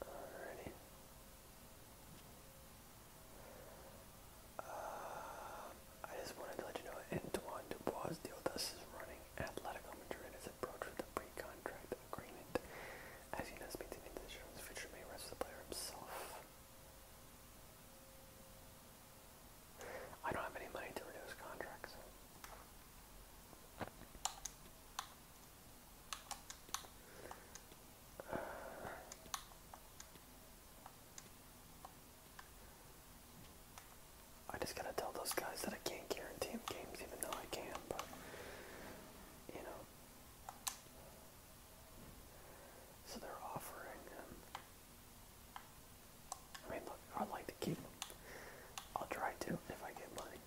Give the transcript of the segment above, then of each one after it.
Alrighty. Uh, I just wanted to let you know Antoine Dubois Dioldas is running Atletico Madrid as approach with a pre-contract agreement. As he does maintain the insurance future may rest the player himself. I don't have any money to renew his contract, uh, I just gotta tell those guys that I can't guarantee them games even though I can, but you know. So they're offering him. I mean, look, I'd like to keep him. I'll try to if I get money.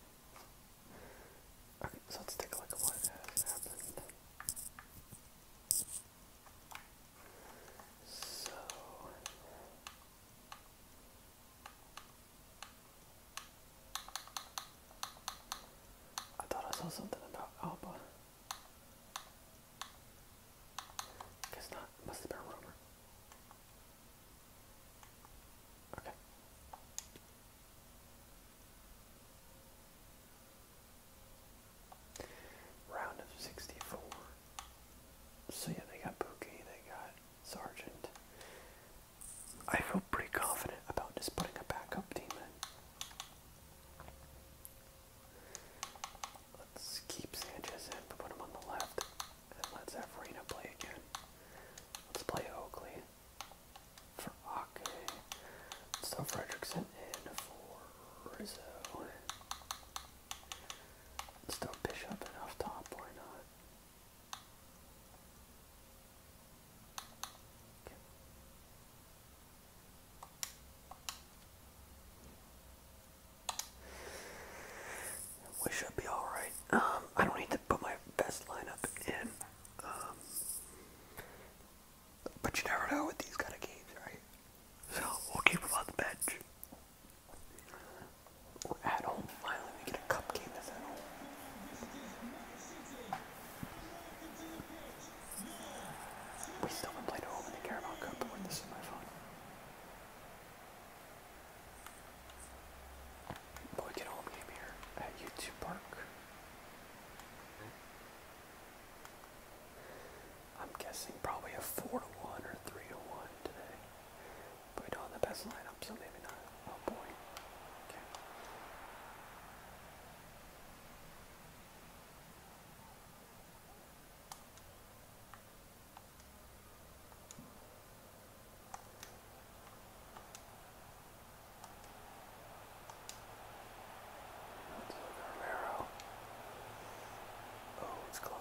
Okay, so let's take a look at what has happened. So. I thought I saw something about Alba. Guess not. Must have a rumor. Round of 64. So yeah, they got Bookie, they got Sergeant. I feel pretty confident about just putting a backup team in. Let's keep Sanchez in, put him on the left, and let's play again. Let's play Oakley for Ake. let Fredrickson in for Rizzo. let Bishop in off top, why not? we should be alright. Um, I don't need to put my best lineup in. Um, but you never know with these kind of games, right? So we'll keep them the bench. We're at home finally. We get a cup game at home. We still haven't played at home in the Carabao Cup, this is my phone. Boy, get home game here at YouTube Park. I'm guessing probably a 4 to 1 or 3 to 1 today. But we don't have the best lineup, so maybe not. Oh boy. Let's look at Romero. Oh, it's close.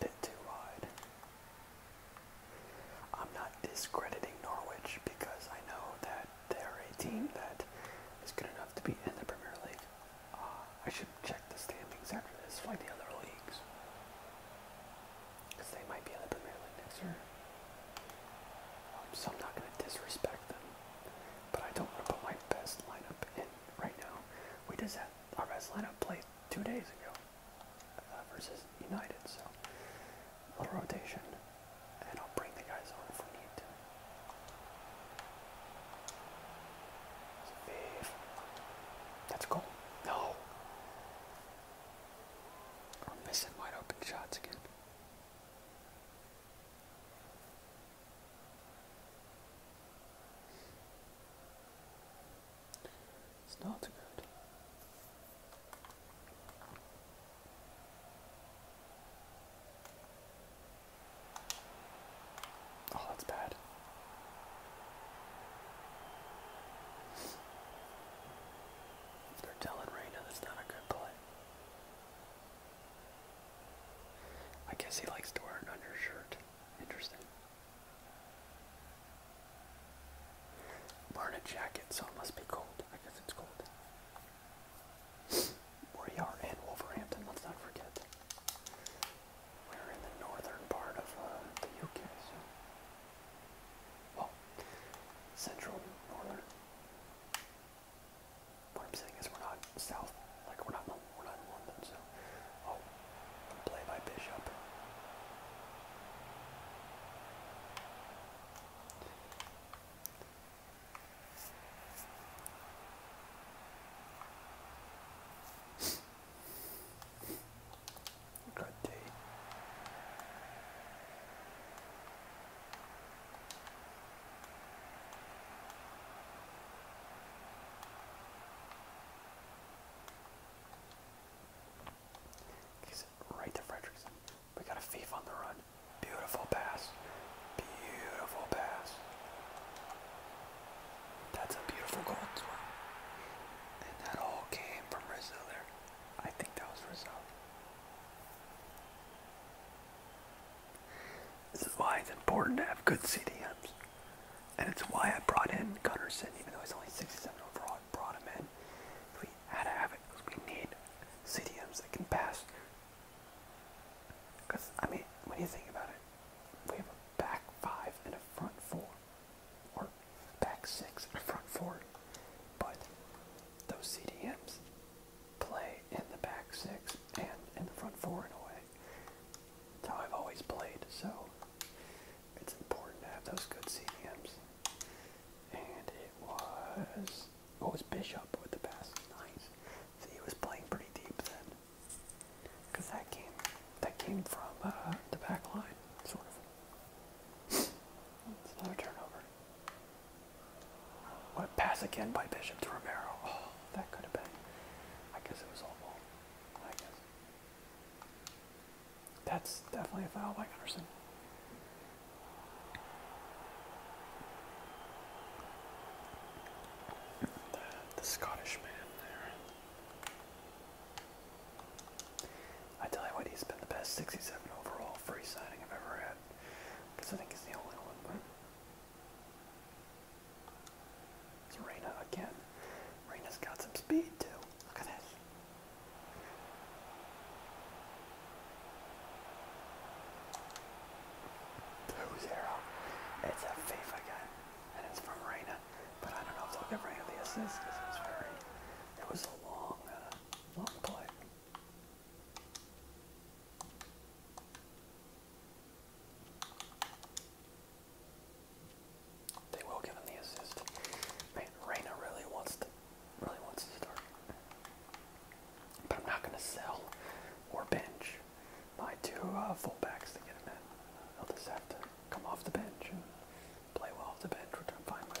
bit too wide. I'm not discrediting Norwich because I know that they're a team mm-hmm. that is good enough to be in the Premier League. Uh, I should check the standings after this, Find the other leagues. Because they might be in the Premier League next year. Um, so I'm not going to disrespect them. But I don't want to put my best lineup in right now. We just had our best lineup play two days ago uh, versus United. So a little rotation. And I'll bring the guys on if we need to. That's a goal. No. I'm missing wide open shots again. It's not good. Oh, that's bad. They're telling Reina that's not a good play. I guess he likes to wear an undershirt. Interesting. Wearing a jacket, so it must be cold. I guess it's cold. we are in Wolverhampton, let's not forget. We're in the northern part of uh, the UK, well, central, northern. What I'm saying is we're not south, like we're not, we're not in London, so, oh, play by bishop. Good day. right to Fredrickson. We got a thief on the run. Beautiful pass. Beautiful pass. That's a beautiful goal as well. And that all came from Rizzo there. I think that was Rizal. This is why it's important to have good CDMs. And it's why I brought in Gunnarsson, even though he's only 67 overall, I brought him in. We had to have it because we need CDMs that can pass. Because, I mean, when you think about it, we have a back five and a front four or back six front four, but those CDMs play in the back six and in the front four in a way. That's how I've always played, so it's important to have those good CDMs. And it was what was Bishop with the pass? Nice. So he was playing pretty deep then, because that came that came from uh, the back line, sort of another turnover. What pass again by Bishop to Romero. Oh, that could have been. I guess it was all I guess. That's definitely a foul by Gunnarsson. the Scottish man there. I tell you what, he's been the best 67 overall free signing I've ever had. Because I think he's the only one. But... It's Reyna again. Reyna's got some speed too. Look at this. Blue It's a FIFA gun. And it's from Reyna. But I don't know if they'll give Reyna the assist because it very it was a long, uh, long play. They will give him the assist. Man, Reyna really wants to, really wants to start. But I'm not going to sell or bench my two uh, fullbacks to get him in. I'll just have to come off the bench and play well off the bench, which I'm fine with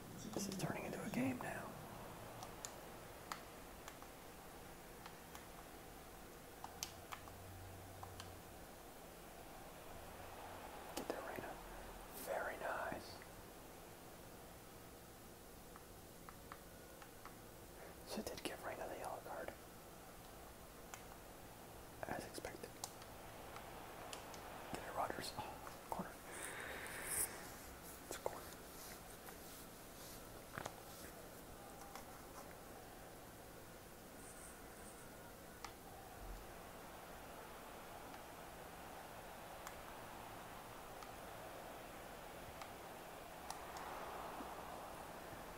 This is turning into a game now. Get the arena. Very nice. So it did give Reina the yellow card. As expected. Get it, Rogers. Oh, corner. It's cool.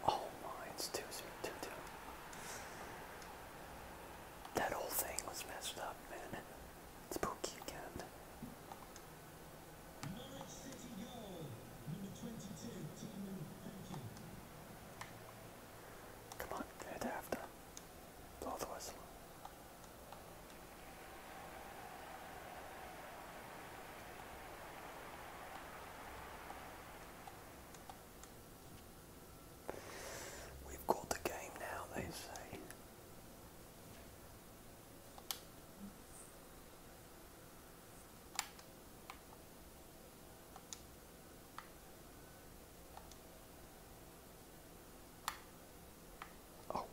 Oh That whole thing was messed up, man. Spooky again. Come on, get after. Blow the whistle. We've got the game now, they say. Oh,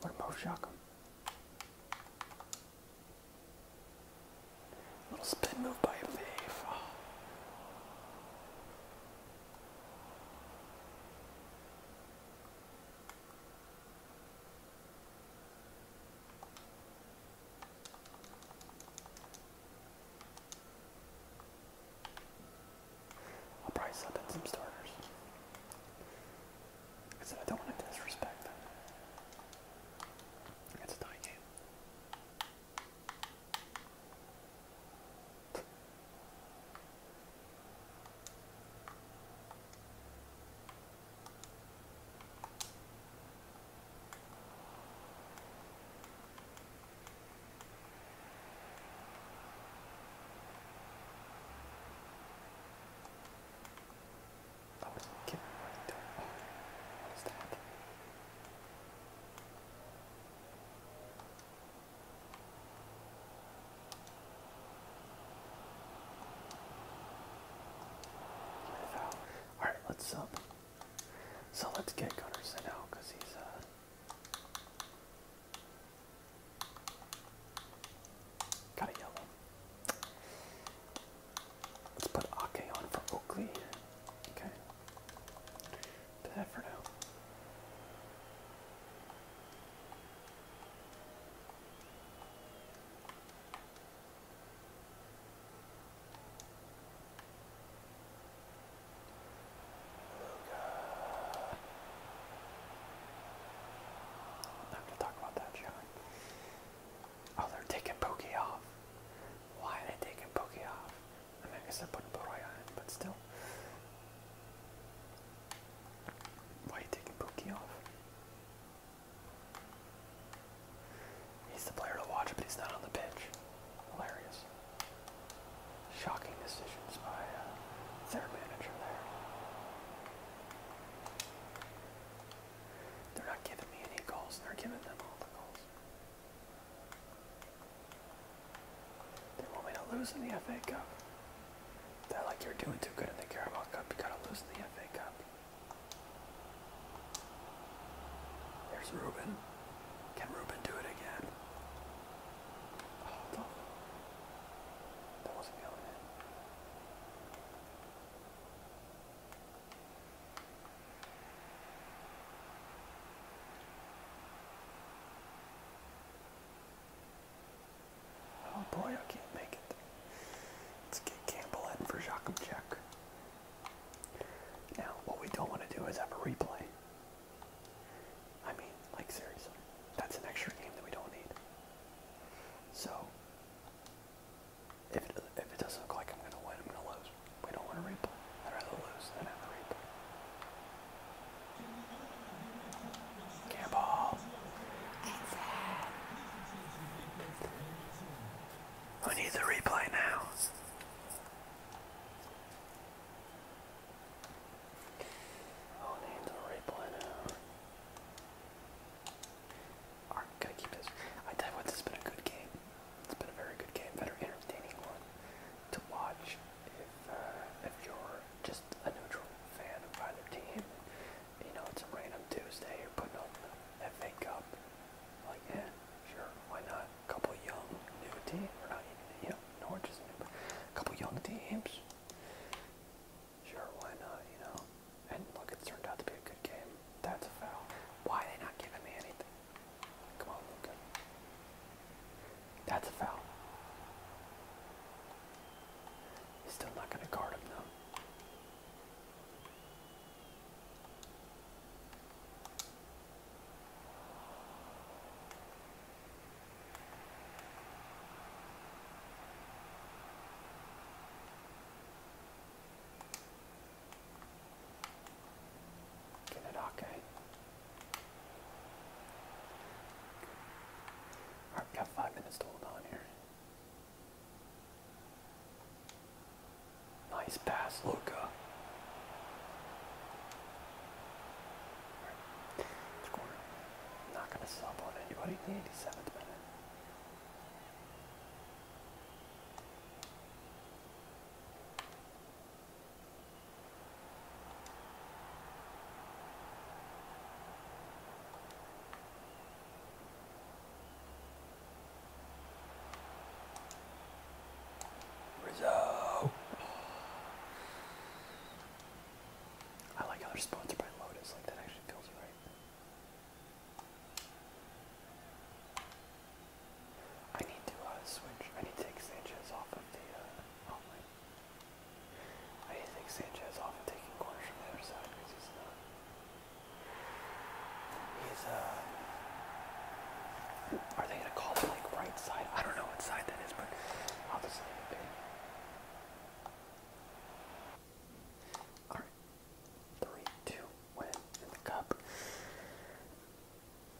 what about shotgun? Little spin move by a I'll probably slip in some starters. Because I don't want to disrespect them. It's a tie game. Oh, get right there. Oh, what is that? All right, let's sub. Um, so let's get Gunnarsson out because he's uh. Got a yellow. Let's put Ake on for Oakley. Okay that for now. Not to talk about that, John. Oh, they're taking Pokey off. Why are they taking Pokey off? I mean, I guess put Boroya in, but still. Why are you taking Pookie off? He's the player to watch, but he's not on the pitch. Hilarious. Shocking decisions by uh, their manager there. They're not giving me any goals, they're giving them all the goals. They want me to lose in the FA Cup. They're like, you're doing too good in the Carabao Cup. You gotta lose in the FA Cup. There's Ruben. Can Ruben do it again? Oh, no. That wasn't going in. Oh boy, I can't make it. Let's get Campbell in for Jack. Now, what we don't want to do is have a replay. I mean, like seriously, that's an extra game that we don't need. So, if if it doesn't look like I'm going to win, I'm going to lose. We don't want to replay. I'd rather lose than have a replay. Cannonball. We need the replay now. Oh, need the replay now. Alright, gotta keep this. I tell this has been a good game. It's been a very good game, very entertaining one to watch if uh, if you're just a neutral fan of either team, you know it's a random Tuesday. You're putting on the FA Cup, like yeah, sure, why not? A couple young new teams, or not even young, know, Norwich is new, a couple young teams. Sure, why not? You know, and look, it's turned out to be a good game. That's a foul. Why are they not giving me anything? Come on, Luca. That's a foul. He's still not going to guard him, though. Get it, okay. Alright, we got five minutes to hold on here. Nice pass, Luka. Right. Corner. not gonna sub on anybody in the 87th minute. Rizzo. I like how they're sponsored by Lotus, like that actually feels right. I need to uh, switch, I need to take Sanchez off of the, uh, I think Sanchez often taking corners from the other side because he's not. Uh, he's uh. Are they gonna call it right side? I don't know what side that is, but obviously it Alright. Three, two, win in the cup.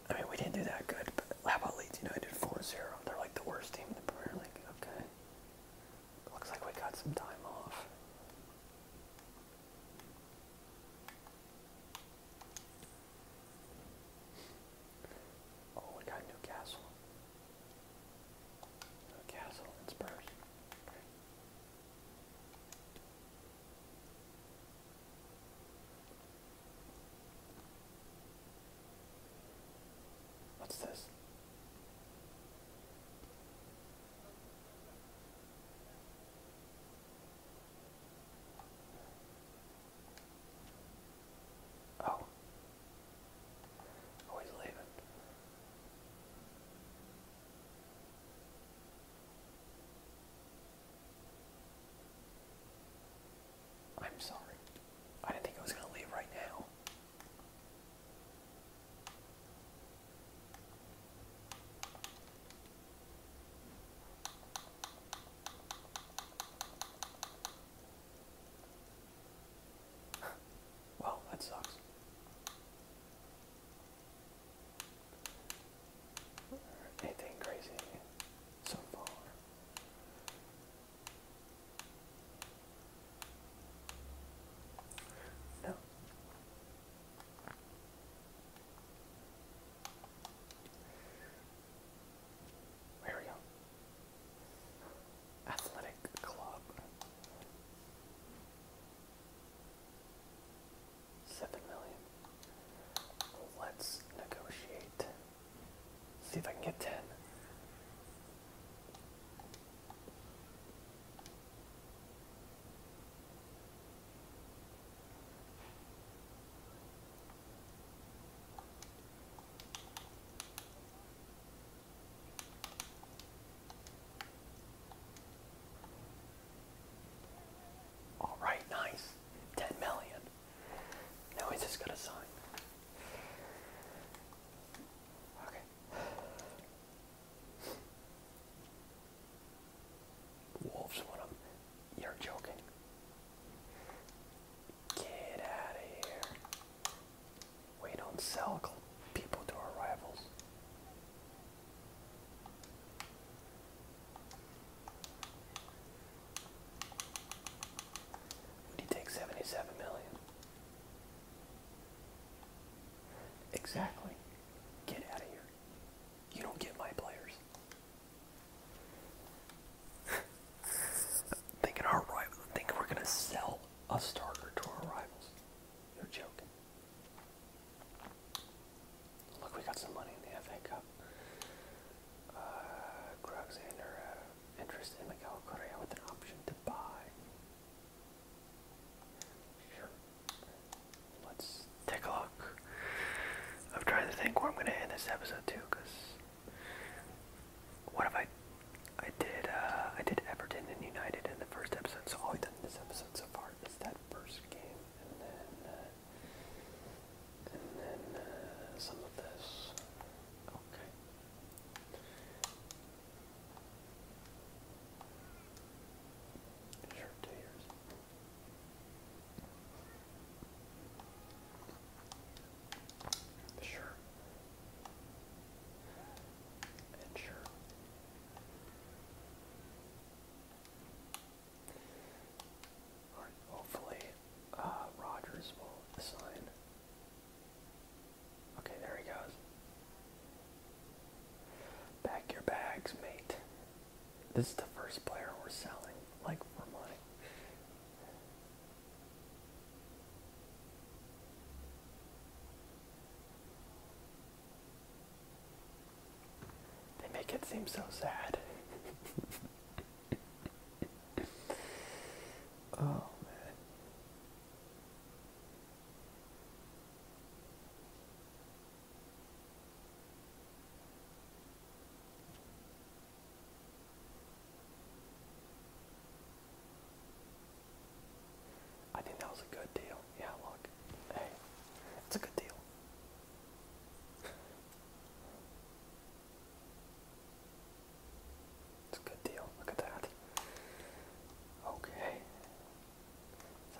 I mean, we didn't do that good, but how about Leeds United 4 0? They're like the worst team in the Premier League. Okay. Looks like we got some time off. Oh, we got Newcastle. Newcastle and Spurs. What's this? Oh. Oh, leaving. I'm sorry. I didn't think I was going to leave right now. well, that sucks. Anything crazy so far? There we go. Athletic Club. Seven million. Let's negotiate. See if I can get 10. All right, nice. 10 million. Now he's just got to sign. Okay. Wolves want You're joking. Get out of here. We don't sell people to our rivals. Would you take 77 million? Exactly. Get out of here. You don't get my players. Thinking our rival, thinking we're gonna sell a starter to our rivals. You're joking. Look, we got some money in the FA Cup. Uh, interest in Miguel Correa with an option to buy. Sure. Let's take a look. I'm trying to think where I'm going to end this episode too, because what have I, I did, uh, I did Everton and United in the first episode, so all we've done in this episode so far is that first game, and then, uh, and then, uh, some of this. Okay. Sure, two years. Sure. And sure. Alright, hopefully uh, Rogers will sign Okay, there he goes. Pack your bags, mate. This is the first player we're selling, like for money. They make it seem so sad. oh man. I think that was a good deal. Yeah, look. Hey, it's a good deal. It's a good deal. Look at that. Okay.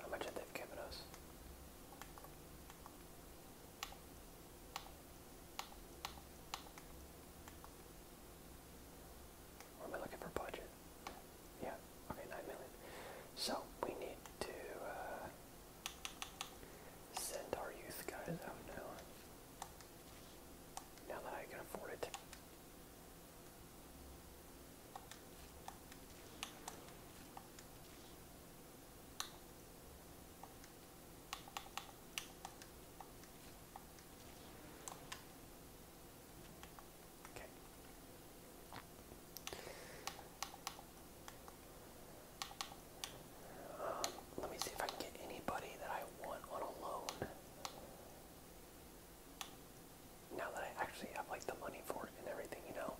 how much have they given us? Or am looking for budget? Yeah. Okay, nine million. So we need to uh, send our youth guys out now. Now that I can afford it. Okay. Um, let me see if I can get anybody that I want on a loan. Now that I actually have like the money for it and everything, you know.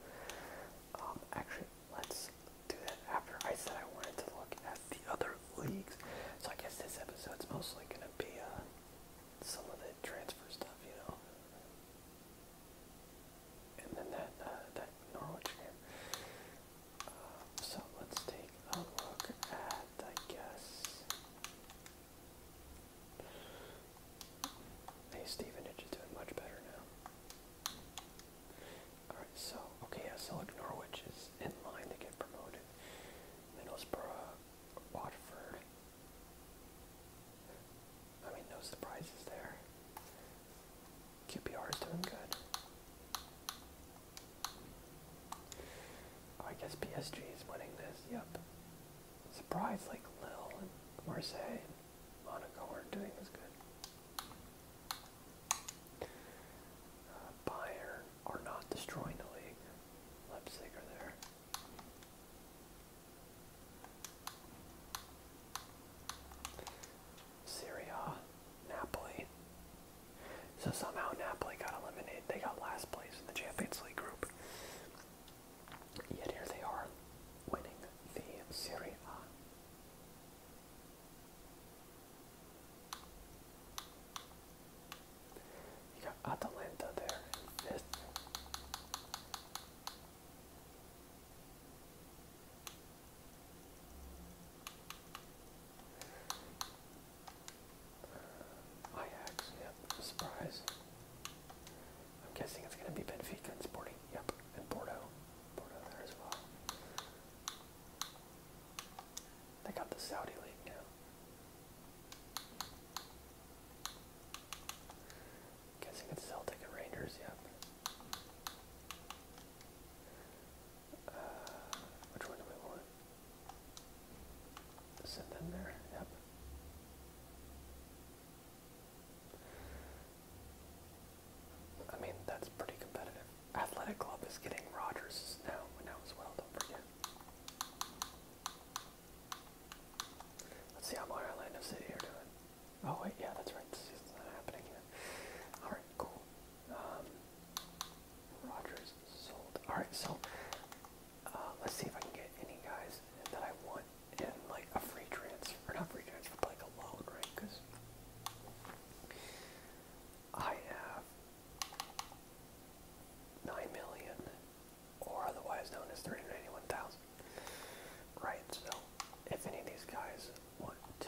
Um, actually, let's do that after I said I wanted to look at the other leagues. So I guess this episode's mostly gonna be uh, some of the transfer stuff, you know. And then that uh, that Norwich game. So let's take a look at, I guess, hey Steven, it's doing much better now. Alright, so, okay, yeah, so like Norwich is in line to get promoted. Middlesbrough, Watford. I mean, no surprises there. QPR is doing good. Oh, I guess PSG is winning this. Yep. Surprise, like Lille and Marseille and Monaco aren't doing as good. Uh, Bayern are not destroying the league. Leipzig are there. Syria, Napoli, so somehow Napoli got eliminated. They got last place in the Champions League group. Yet here they are winning the Serie A. You got Atalanta there Ajax, yep, surprise. I'm guessing it's going to be Benfica and Sporting, yep, and Porto. Porto there as well. They got the Saudi League now. Guessing it's Celtic and Rangers, yep which one do we want? Send them there. Yep. I mean, that's pretty competitive. Athletic Club is getting Rogers now, now was well. Don't forget. Let's see how Modern Orlando City are doing. Oh wait, yeah, that's right. The season's not happening yet. All right, cool. Um, Rogers sold. Alright, so uh, let's see if I can get any guys that I want in like a free transfer, not free transfer, like a loan, right? Because I have 9 million, or otherwise known as 391,000. Right, so if any of these guys want to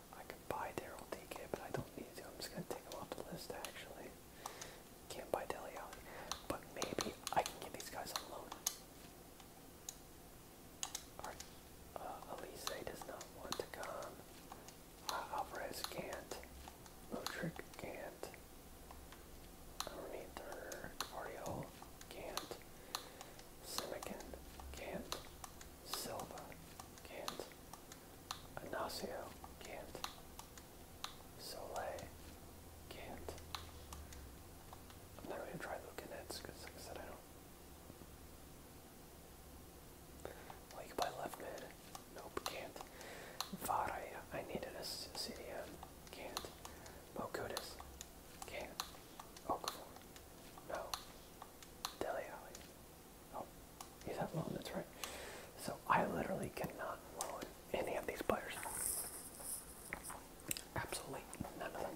I can buy Daryl DK, but I don't need to. I'm just gonna take them off the list actually. Can't buy Deli Alley. But maybe I can get these guys on loan. Or, uh, Elise does not want to come. Uh, Alvarez can't. Motrick can't. Underneath her, Cardio can't. Simican can't. Silva can't. Ignacio can't. Soleil can't. I'm never gonna try Lucanets because like I said I don't Like you left mid. Nope, can't. Vare, I needed a CDM. Can't. Mokutis. Can't. Okafor. No. Deli Oh, he's at loan, that's right. So I literally cannot loan any of these players. Absolutely none of them.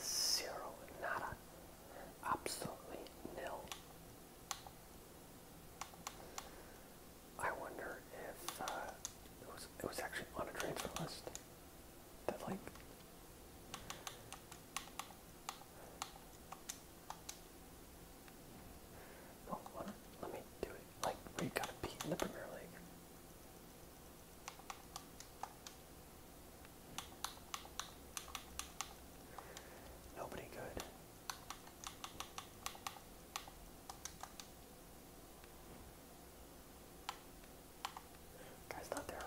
Zero, nada. Absolutely nil. I wonder if uh, it was it was actually on a transfer list that like Oh, what? Let me do it. Like we got to beat in the Premier League. Nobody good. Guy's not terrible.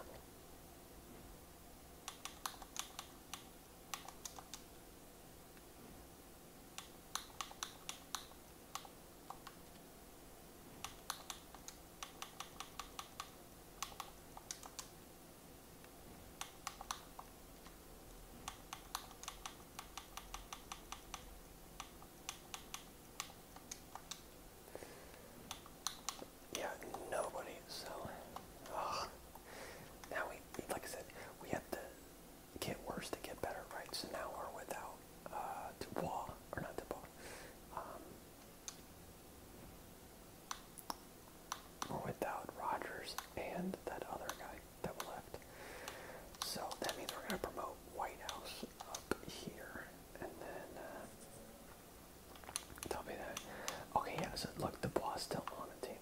Yeah, nobody. So, oh, now we, like I said, we have to get worse to get better, right? So now we're without uh, Dubois, or not Dubois. Um, we're without Rogers and that other guy that left. So that means we're gonna promote White House up here, and then. Uh, Tell me that. Okay, yeah, so look, the boss still on the team.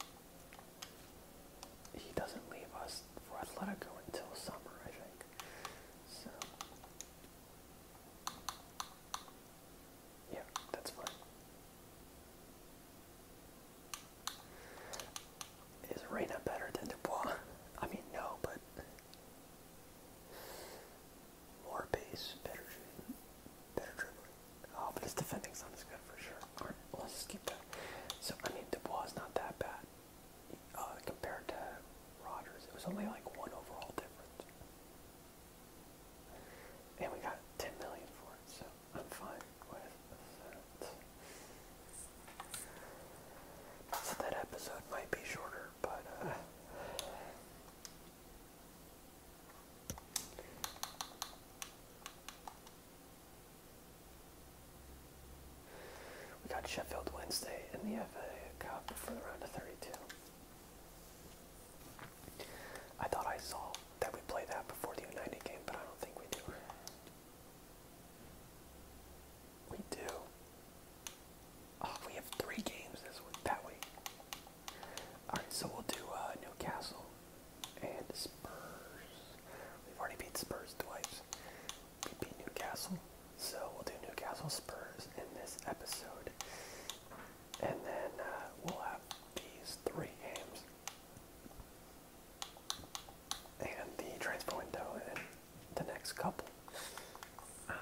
He doesn't leave us for Atletico until summer, I think. So yeah, that's fine. Is Reina better than Dubois? I mean, no, but more pace, better shooting, better dribbling. Oh, but his defending sound is good for sure. Alright, well, let's just keep that. So, I mean, Dubois is not that bad uh, compared to Rogers. It was only like one overall difference. And we got 10 million for it, so I'm fine with that. So that episode might be shorter, but uh, we got Sheffield Wednesday in the FA Cup for the round of 32. I thought I saw that we play that before the United game, but I don't think we do. We do. Oh, we have three games this week, that week. Alright, so we'll do uh, Newcastle and Spurs. We've already beat Spurs twice. We beat Newcastle. So we'll do Newcastle Spurs in this episode. And then uh, we'll have these three games. And the transfer window in the next couple. Um,